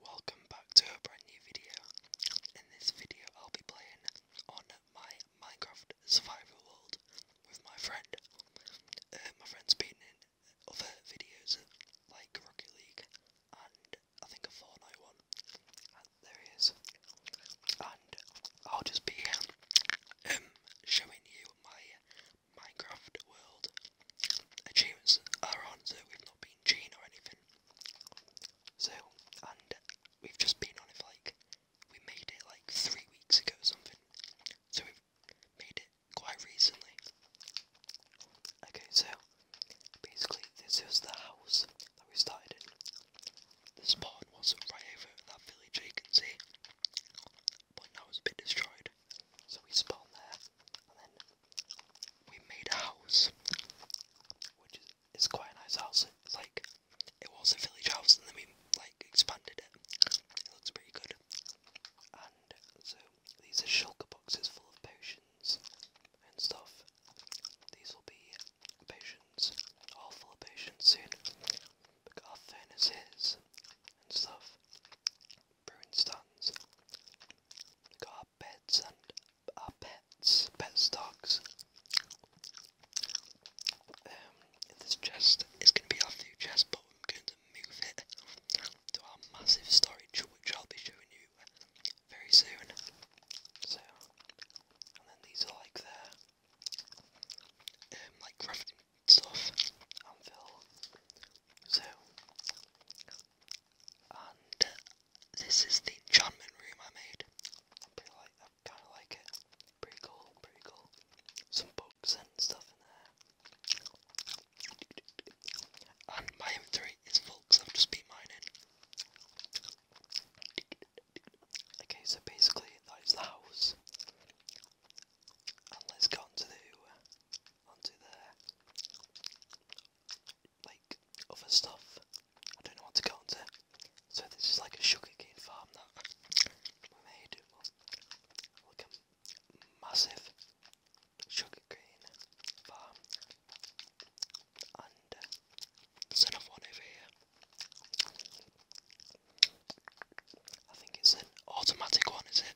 Welcome back to a brand new video. In this video I'll be playing on my Minecraft survival world with my friend. Uh, my friend's been in other videos like Rocket League and I think a Fortnite one. And there he is. And I'll just be um, showing you my Minecraft world. Achievements are on so we've not been been or anything. So, and we've just been on it for like, we made it like three weeks ago or something. So we've made it quite recently. Okay, so basically this is the house that we started in. The spawn was right over that village you can see, but now it's been destroyed. So we spawned there, and then we made a house, which is, quite a nice house. like it was a village house, and then we like expanded it. It looks pretty good. And so these are shulker boxes full of potions and stuff. These will be potions, all full of potions soon. We got our furnaces and stuff, brewing stands. We beds and our pets, pets, dogs. Um, this chest is going to be our new chest, but we're going to move it to our massive storage, which I'll be showing you very soon. So, and then these are like their, um, like crafting stuff, So, and this is the enchantment room I made. I kinda like it. Pretty cool, pretty cool. Some books and stuff in there. And my inventory is full because I've just been mining. Okay, so basically that is the house. And let's go on the onto the like other stuff. I don't know what to go into. So this is like a sugarcane farm that we made. Like a massive sugarcane farm. And uh, another one over here. I think it's an automatic one, is it?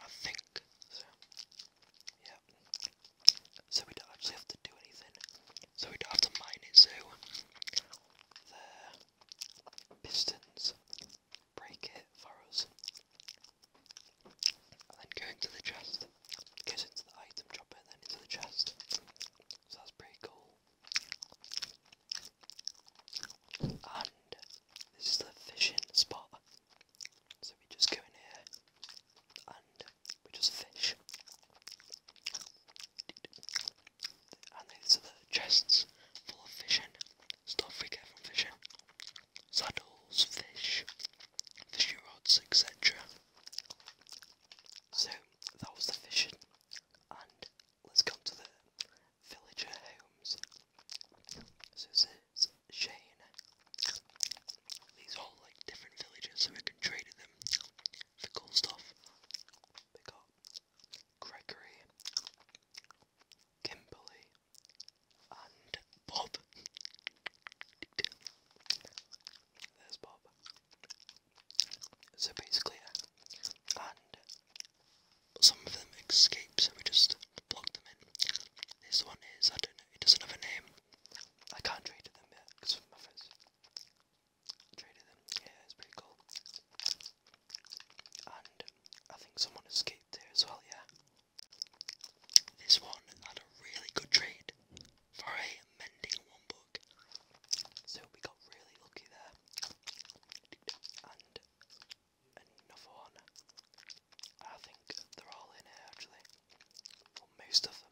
I think so. Yeah. So we don't actually have to do anything. So we don't have to mine it. So the pistons break it for us, and then go into the chest. It into the item chopper and then into the chest. So that's pretty cool. And this is the fishing spot. So we just go in here and we just fish. And these are the chests full of fishing. Stuff we get from fishing. Saddles, fish, fishing rods, etc. So that was the fishing and let's come to the villager homes. So this Shane, these all like different villages, so we can trade to them for cool stuff. They got Gregory, Kimberly, and Bob. There's Bob. So basically, and some of them escape, so we just block them in. This one is, I don't know, it doesn't have a name. I can't trade to them yet because my them. Yeah, it's pretty cool. And I think someone escaped there as well. Yeah, this one had a really good trade for a mending one book, so we got really lucky there. And another one. I think they're all in actually. Or most of them.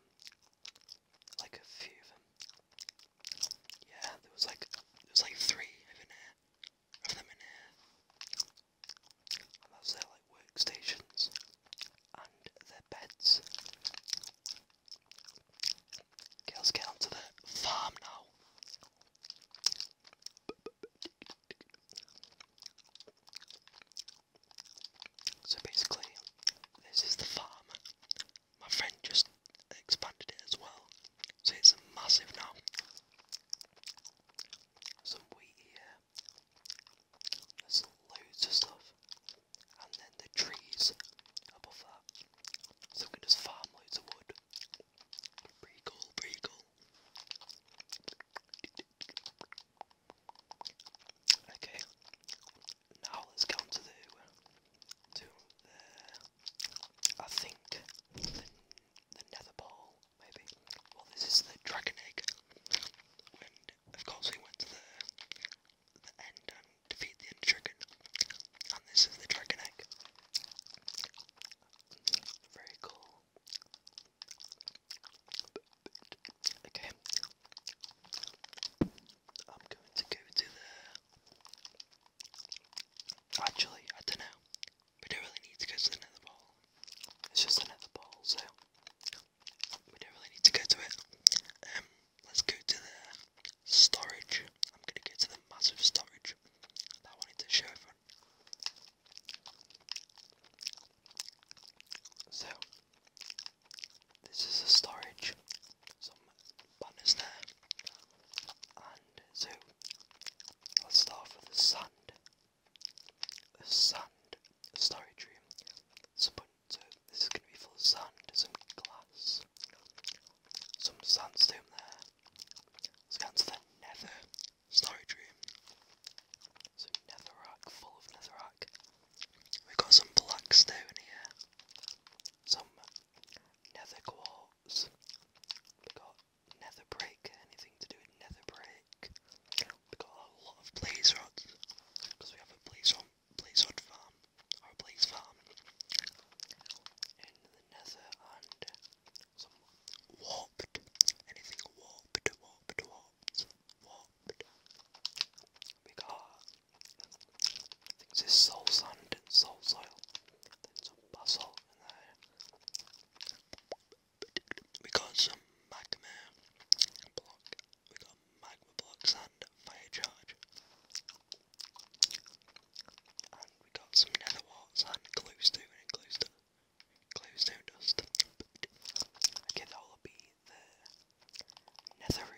Like a few of them. Yeah, there was like there was like three Of them in here. And that's their like workstations and their beds. Girls, let's get onto the farm now. So basically, this is the farm. My friend just expanded it as well, so it's massive now. Some wheat here. There's loads of stuff, and then the trees above that. So we can just farm loads of wood. Pretty cool, pretty cool. Okay, now let's go to the to the I think the, nether ball maybe. Well, this is the dragon egg. of course we went to the the end and defeat the dragon, and this is the dragon egg. Very cool. Okay. I'm going to go to the. Actually, I don't know. We don't really need to go to the ball. It's just the ball, so we don't really need to go to it. Um, let's go to the storage. I'm gonna go to the massive storage. I wanted to show everyone so, this is the storage, some banners there, and so let's start with the sand. The sand storage room. So, so this is going to be full of sand, some glass, some sandstone there. Let's go on the nether. Story Dream. So rock, full of nether rock. We've got some black stone here. Some nether quartz. We've got nether brick, anything to do with nether brick. We've got a lot of blaze rods. Because we have a blaze rod, blaze rod farm. Or blaze farm. In the nether and some warped. Anything warped, warped, warped because things is soul sand and soul soil. Then some basalt in there. We got some magma block. We got magma block sand, fire charge. And we got some nether warts and glowstone and glowstone. Close down dust. Okay, that will the nether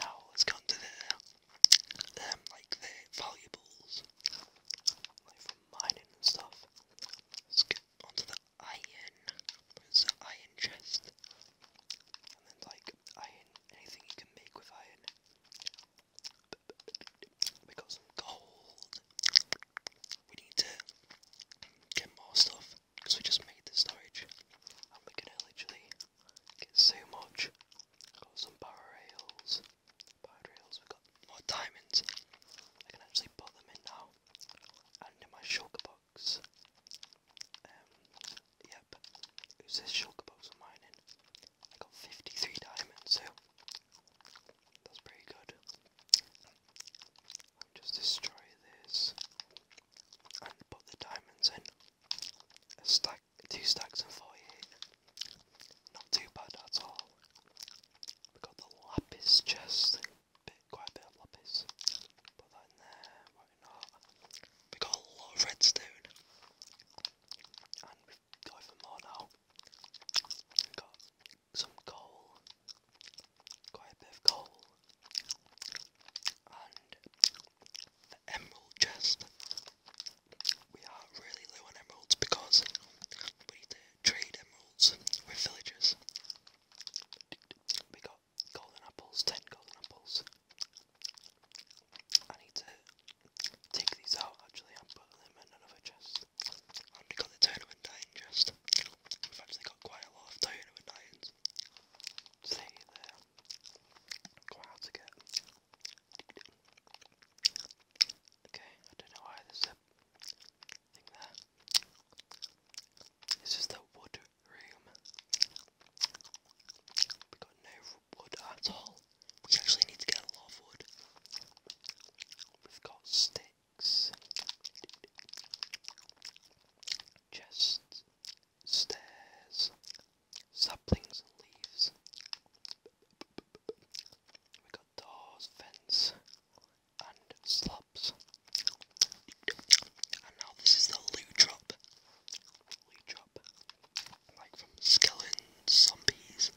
Now let's go on the um like the valuables. Like from mining and stuff. Let's get onto the iron. There's iron chest. And then like iron anything you can make with iron. We got some gold we need to get more stuff because we just made the storage and we're gonna literally get so much. Got some power rails, power rails, we got more diamonds. I can actually put them in now and in my sugar box. Um, yep, it was sugar box of mine I got 53 diamonds, so that's pretty good. just destroy this and put the diamonds in. A stack, two stacks and four here. Not too bad at all. We've got the lapis chest. quite a bit of lapis. Put that in there, We've got a lot of redstone. And we've got even more now. We've got some coal, quite a bit of coal, and the emerald chest. We are really low on emeralds because we need to trade emeralds with villagers. We got golden apples, 10 golden apples. I need to take these out actually and put them in another chest. we got the tournament chest. We've actually quite a lot of Diana See there. Quite hard to get. Okay, I don't know why there's a thing there. This is the wood room. We got no wood at all. We actually need to get a lot of wood. We've got sticks legs, stairs, saplings and leaves. We got doors, fence, and slabs. And now this is the loot drop. Loot drop, like from skeletons, zombies,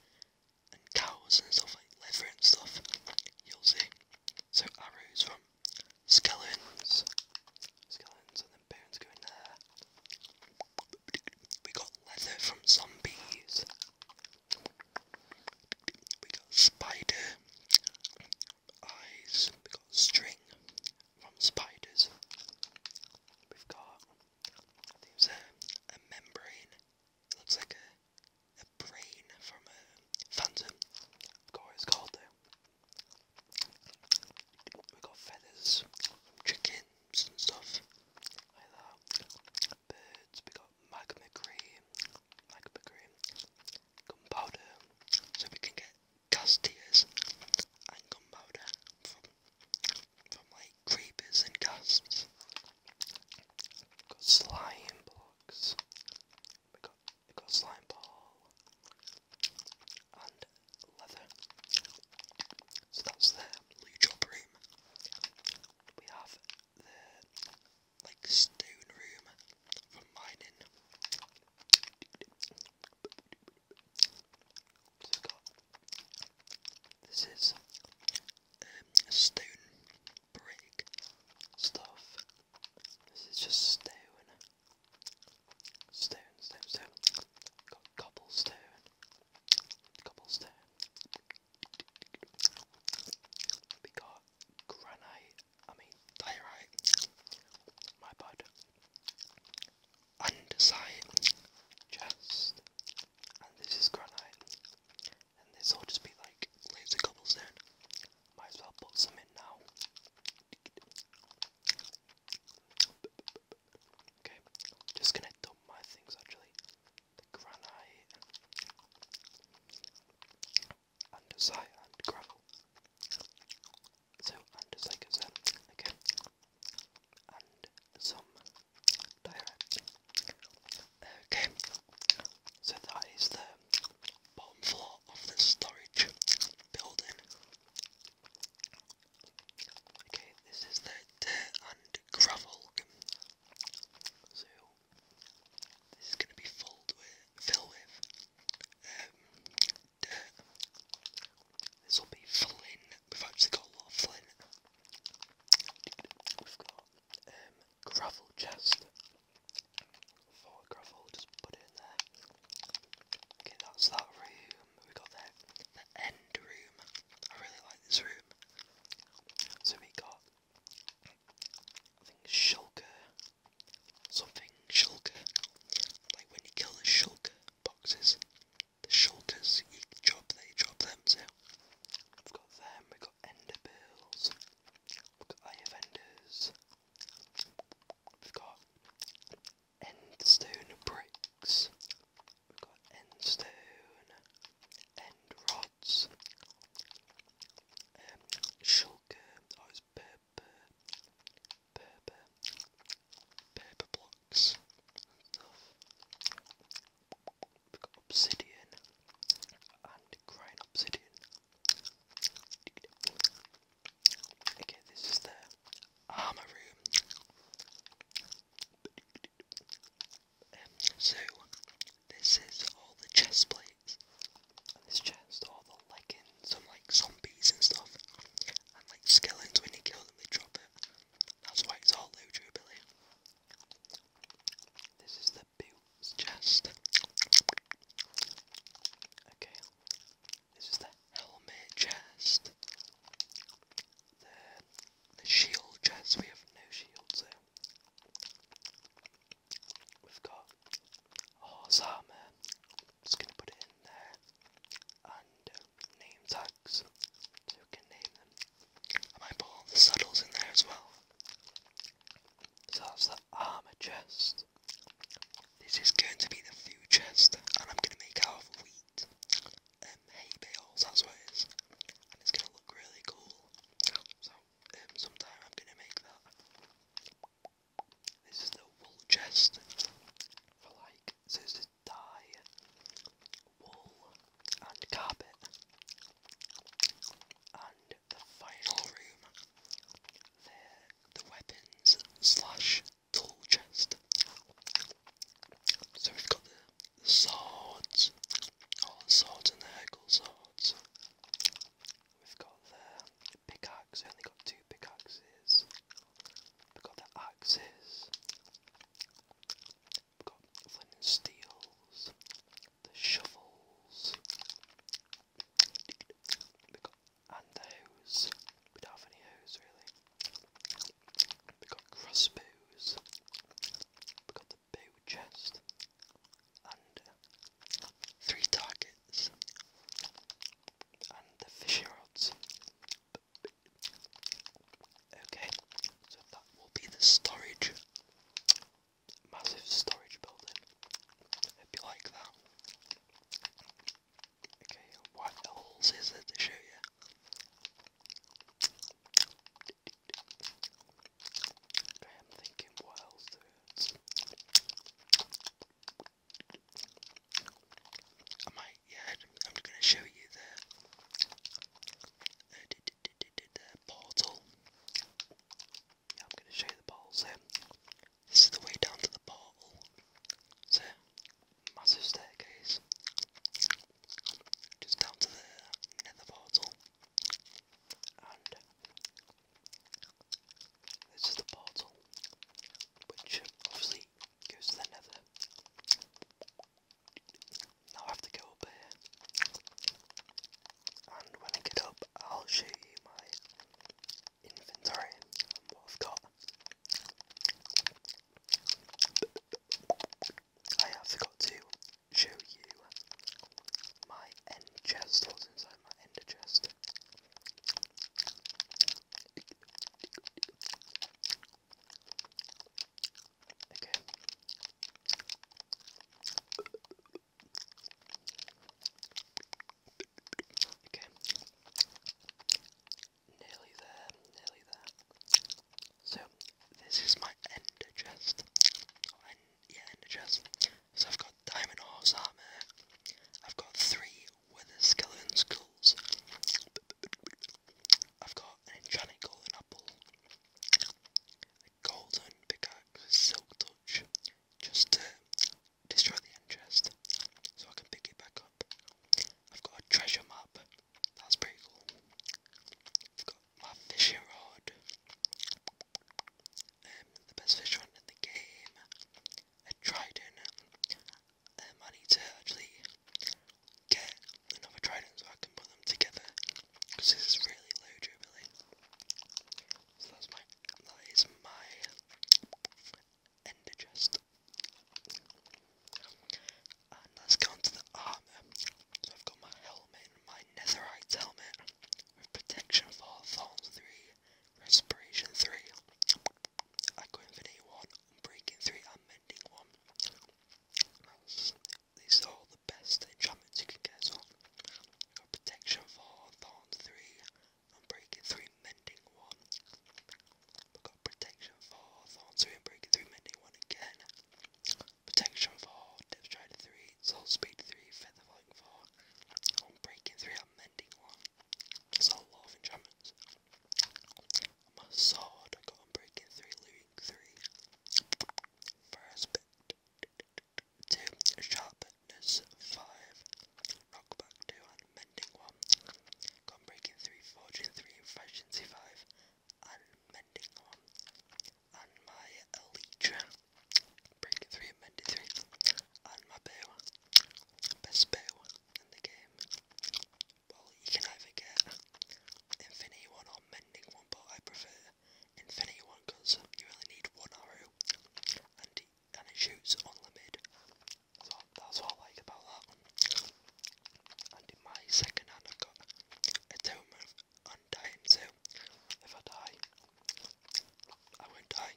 and cows and stuff like leather and stuff. You'll see. So arrows from skeletons, skeletons, and then bones go in there. We got leather from zombies. We got spider eyes. We got string from spiders. We've got. I a membrane. It looks like a a brain from a phantom. I forgot what it's called though. We got feathers from chickens and stuff like that. Birds, we got magma cream, magma cream, gunpowder, so we can get gas tears and gunpowder from from like creepers and casts. Got slime blocks we got we got slime ball and leather. So that's the Lujo room. We have the like stone room for mining. So we got this is um, stone brick stuff. This is just stone. Stone, stone, stone. Got cobblestone. Cobblestone. We got granite. I mean, diorite. My bad. Andesite. Chest. And this is granite and this will just be like laser cobblestone. Might as well put some in now. Okay, just gonna dump my things actually. The granite and and gravel. So andesite goes And some diorite. Okay. So that is the bottom floor of the storage building. Okay, this is the dirt and gravel. So this is going to be filled with, filled with um, dirt. This will be flint. We've actually got a lot of flint. We've got um, gravel chest. Four gravel, just put it in there. Okay, that's that room. We got the, the end room. I really like this room. So we got, I think, Something shulker. Like when you kill the shulker boxes, the shulkers, you drop, they drop them. So I've got them. we got ender We've got Eye We've got Endstone Bricks. We've got Endstone. End Rods. Um, Shulker. Oh, it's Blocks. We've got Obsidian. And Crying Obsidian. Okay, this is the armor room. Um, so, this is all the chest plates. this chest, all the leggings, some like zombies and stuff. And like skeletons, when you kill them, they drop it. That's why it's all low durability. This is the boot it's just okay. This is the helmet chest. The, the shield chest. We have no shields here. We've got horse armor. Just gonna put it in there. And uh, name tags, so can name them. I might put all saddles in there as well. So that's the armor chest. This is going to be the food chest, and I'm going to make out of wheat and hay bales, that's what it is. And it's going to look really cool. So, um, sometime I'm going to make that. This is the wool chest for like, this is dye, wool, and carpet, and the final room. the weapons slash tool chest. So we've got the, swords, all oh, the swords and the Hegel swords. We've got the pickaxe, only got two pickaxes. We've got the axes. We've got flint and steels the shovels, and the hose. We don't have any hose really. We got crossbows. We got the bow chest and uh, three targets and the fishing rods. Okay, so that will be the storage massive storage building. It'd be like that. Okay, what else is there to show you? I'm thinking what else I might, yeah, I'm just going to show you the uh, portal. I'm going to show you the bottle. So, this is the way down to the bottle. So, massive staircase. Just down to the nether portal. And this is the portal, which obviously goes to the nether. Now I have to go up here and when I get up I'll show you my inventory and what I've got. I have forgot to show you my end chest, what's inside my ender chest. Okay. So, this is my ender chest. Oh, yeah, ender chest. So I've got diamond horse armor. I've got three wither skeleton skulls. I've got an enchanted golden apple golden pickaxe with silk touch just to destroy the end chest so I can pick it back up. I've got a treasure map, that's pretty cool. I've got my fishing rod, um, the best fish rod in the game, a trident. Um, I need to actually get another trident so I can put them together because this is really low durability. So that's my, that is my ender chest. And let's go to the armour. So I've got my helmet my netherite helmet with protection 4, thorns 3, respiration 3, echo 1, breaking 3 and 1. these are all the best enchantments you can get as got protection 4, thorns 3, I'm breaking through mending one. we got protection four, thorn two, and breaking three, mending one again. Protection four, depth stride three, soul speed three, feather falling four. I'm breaking three, I'm mending one. That's of enchantments. My sword, I got breaking three, looting three. First bit. 2. Sharpness 5. Rock back 2 and 1. Gun breaking 3, forging 3, efficiency 5 and 1. And my Breaking 3 and 3. And bow. Best bow in the game. Well, you can either get Infinity 1 or mending 1, but I prefer Infinity 1 because you only need one arrow and it shoots unlimited. So that's what I like about that one. And in my second hand I got a Tome of so if I die, I won't die.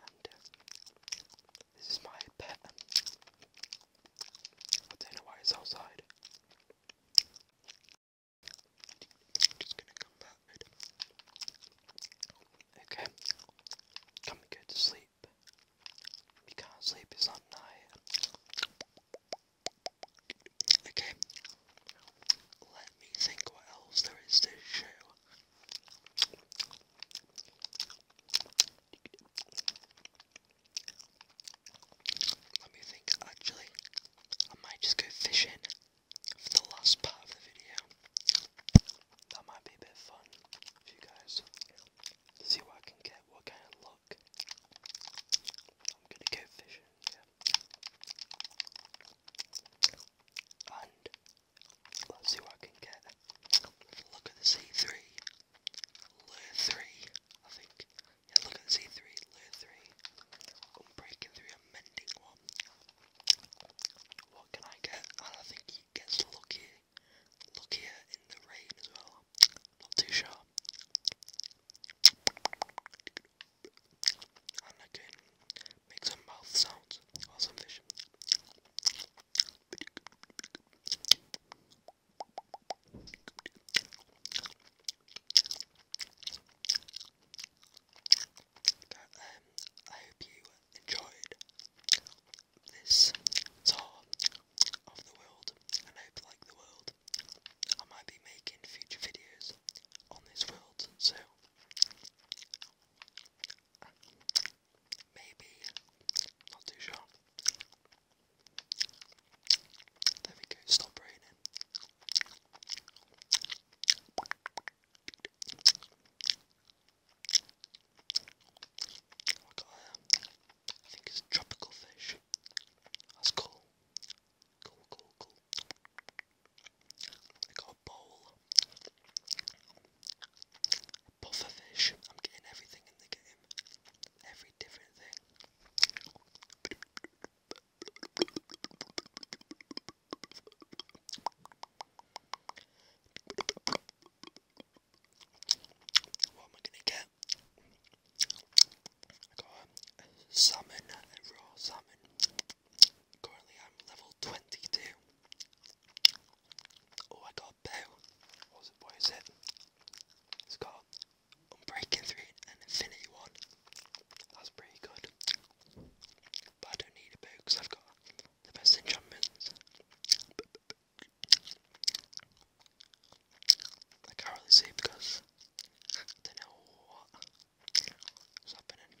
And uh, this is my pet. I don't know why it's outside. Just gonna come back. Okay. Can to sleep? We not sleep, it's not night. Okay. Let me think what else there is to show. Let me think. Actually, I might just go fishing for the last part of the video. That might be a bit fun for you guys. See what I can get, what kind of luck. I'm gonna go fishing, yeah. And let's see what I can get. Look at the C3. Lure 3, I think. look at C3, Lure 3. Unbreaking 3, and Mending 1. What can I get? I think he gets lucky. Luckier in the rain as well. Not too sure. And I can some mouth sounds or some um, I hope you enjoyed this tour of the world, I hope you like the world. I might be making future videos on this world, so maybe not too sure. There we go, stop raining. Oh, I think it's a tropical fish. That's cool. Cool, cool, cool. I got a bowl. A fish. I'm getting everything in the game. Every different thing. What am I gonna get? I got salmon, salmon. Currently, I'm level 22. Oh, I got bow. What is it? What is it? It's Unbreaking 3 and Infinity 1. That's pretty good. But I don't need a bow because I've got the best enchantments. I can't really see because I don't know what is happening.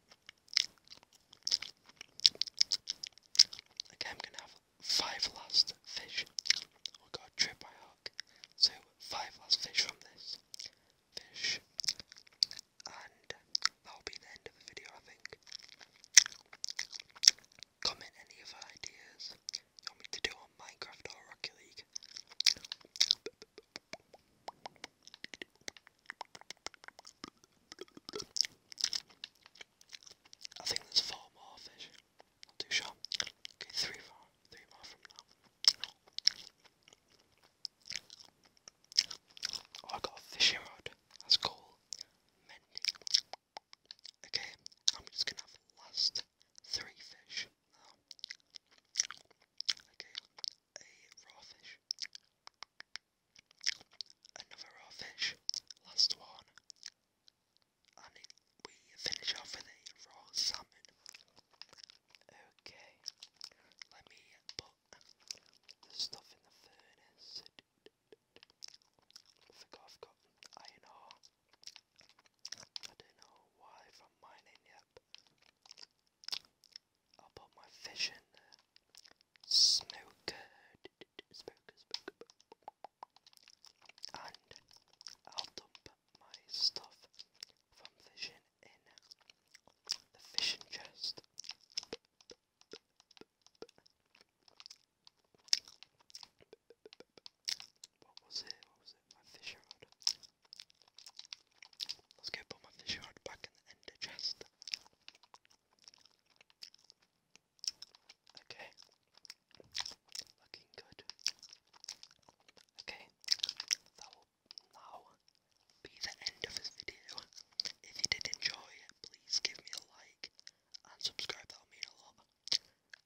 Okay, I'm gonna have five last fish. Oh god, trip my hook. So, five last fish from this fish. And that'll be the end of the video, I think. Comment any other ideas you want me to do on Minecraft or Rocket League. I think there's four more fish. Not too sure. three more. Three more from now. Oh, I got a fishing rod. That's cool. Okay, I'm just gonna have the last three fish Okay, a raw fish, Another raw fish. Last one. And we finish off with a raw salmon. Okay. Let me put the stuff in the furnace. I forgot I've I don't know why I'm mining yet put my fish Smoker, And I'll dump my stuff from fishing in the fishing chest. What was it? What was it? My fish rod. Let's go put my fish rod back in the chest. Okay. Looking good. Okay. That will now be the end of this video. If you did enjoy, please give me a like and subscribe. That'll mean a lot.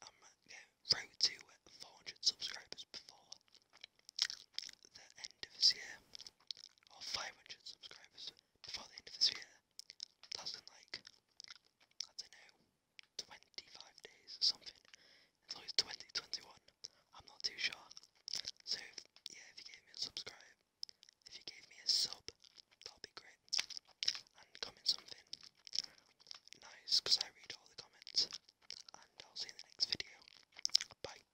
I'm going road to 400 subscribers before the end of this year, or 500 subscribers before the end of this year. That's in like, I don't know, 25 days or something. It's always 2021. I'm not too sure. So, yeah, if you gave me a subscribe, if you gave me a sub, that'd be great. And comment something nice, because I read all the comments. And I'll see in the next video. Bye.